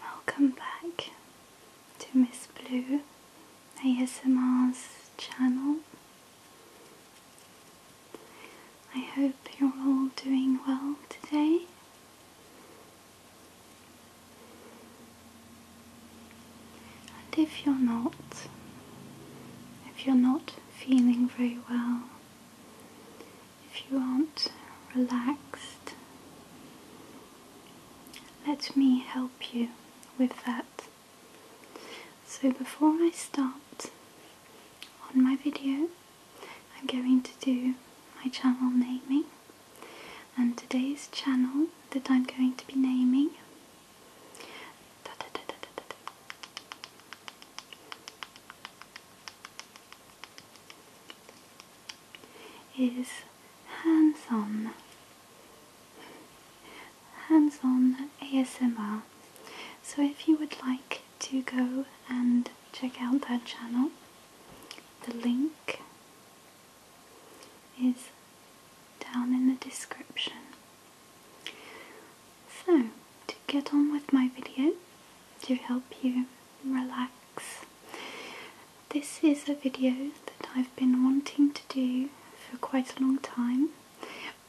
Welcome back to Miss Blue ASMR's channel. I hope you're all doing well today and if you're not, if you're not feeling very well, if you aren't relaxed, let me help you with that. So before I start on my video, I'm going to do my channel naming and today's channel that I'm going to be naming is hands-on hands-on ASMR so if you would like to go and check out that channel the link is down in the description. So, to get on with my video, to help you relax, this is a video that I've been wanting to do for quite a long time,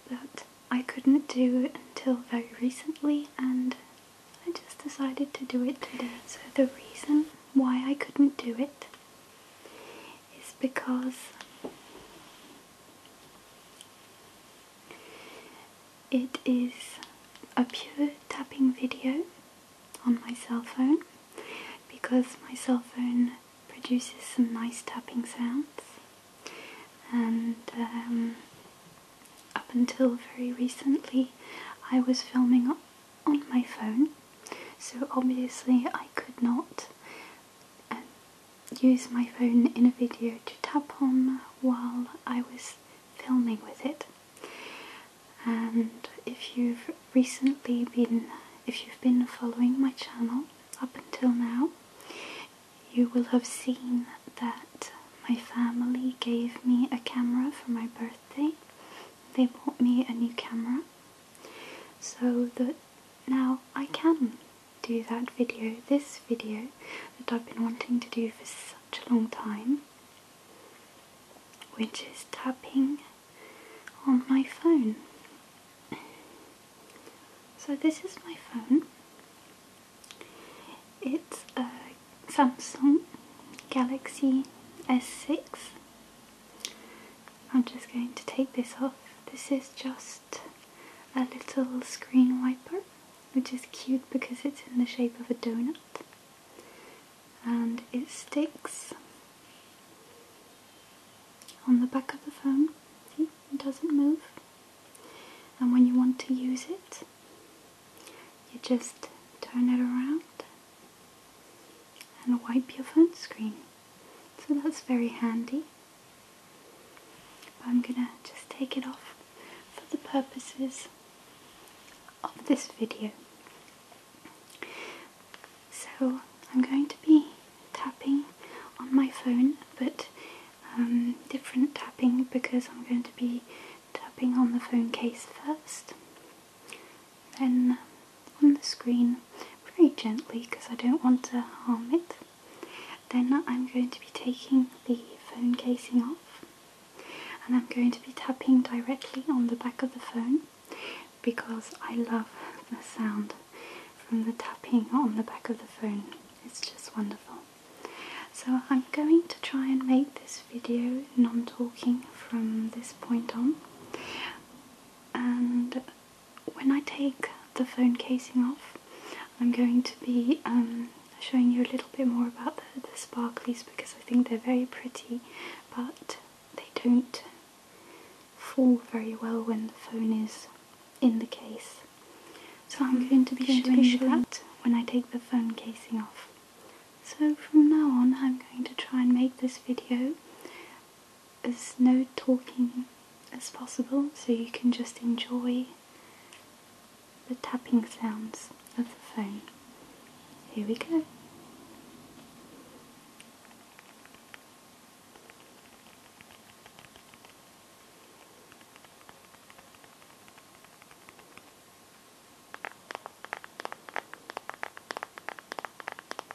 but I couldn't do it until very recently and I just decided to do it today. So the reason why I couldn't do it it's because it is a pure tapping video on my cell phone because my cell phone produces some nice tapping sounds and um, up until very recently I was filming on my phone so obviously I could not um, use my phone in a video to tap on while I was filming with it. And if you've recently been, if you've been following my channel up until now, you will have seen that my family gave me a camera for my birthday birthday, they bought me a new camera so that now I can do that video, this video that I've been wanting to do for such a long time, which is tapping on my phone. So this is my phone. It's a Samsung Galaxy S6 I'm just going to take this off. This is just a little screen wiper, which is cute because it's in the shape of a donut and it sticks on the back of the phone. it doesn't move. And when you want to use it, you just turn it around and wipe your phone screen. So that's very handy. But I'm gonna just take it off for the purposes of this video. So I'm going to be tapping on my phone, but um, different tapping because I'm going to be tapping on the phone case first. Then on the screen, very gently because I don't want to harm it, then I'm going to be taking the phone casing off and I'm going to be tapping directly on the back of the phone because I love the sound from the tapping on the back of the phone. It's just wonderful. So I'm going to try and make this video non-talking from this point on and when I take the phone casing off, I'm going to be um, showing you a little bit more about the, sparklies because I think they're very pretty, but they don't fall very well when the phone is in the case. So I'm mm-hmm. going to be showing, you be showing that when I take the phone casing off. So from now on I'm going to try and make this video as no talking as possible so you can just enjoy the tapping sounds of the phone. Here we go.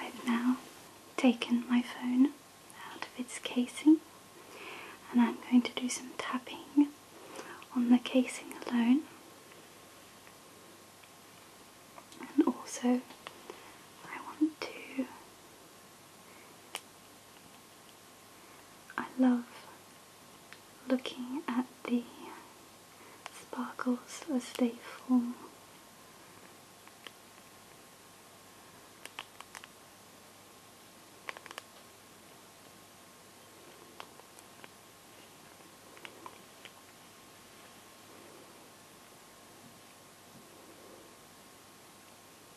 I've now taken my phone out of its casing and I'm going to do some tapping on the casing alone and also I want to I love looking at the sparkles as they fall.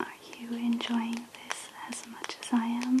Are you enjoying this as much as I am?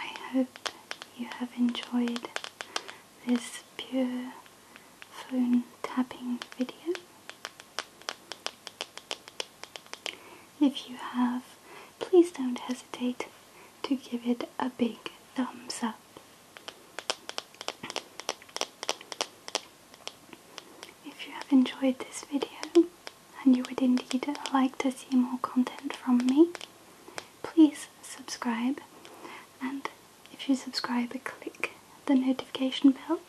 I hope you have enjoyed this pure phone tapping video. If you have, please don't hesitate to give it a big thumbs up. If you have enjoyed this video and you would indeed like to see more content from me, please subscribe and if you subscribe click the notification bell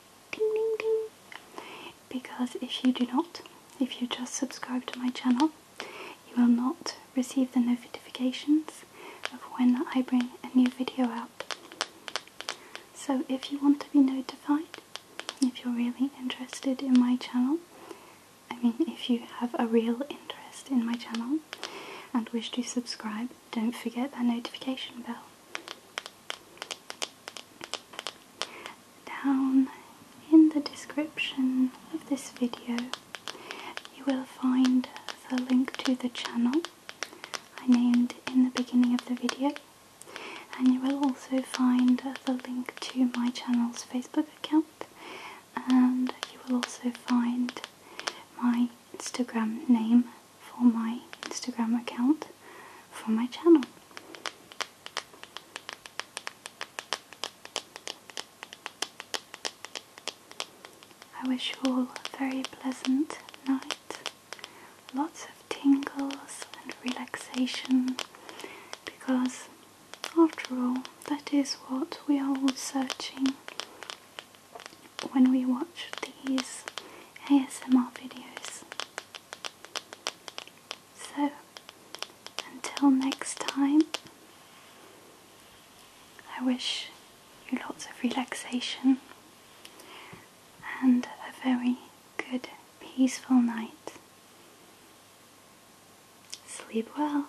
because if you do not if you just subscribe to my channel you will not receive the notifications of when I bring a new video out so if you want to be notified if you're really interested in my channel I mean if you have a real interest in my channel and wish to subscribe don't forget that notification bell down in the description of this video you will find the link to the channel I named in the beginning of the video and you will also find the link to my channel's Facebook account and you will also find my Instagram name for my Instagram account for my channel. I wish you all a very pleasant night, lots of tingles and relaxation, because after all, that is what we are all searching when we watch these ASMR videos. So, until next time, I wish you lots of relaxation and a very good, peaceful night. Sleep well.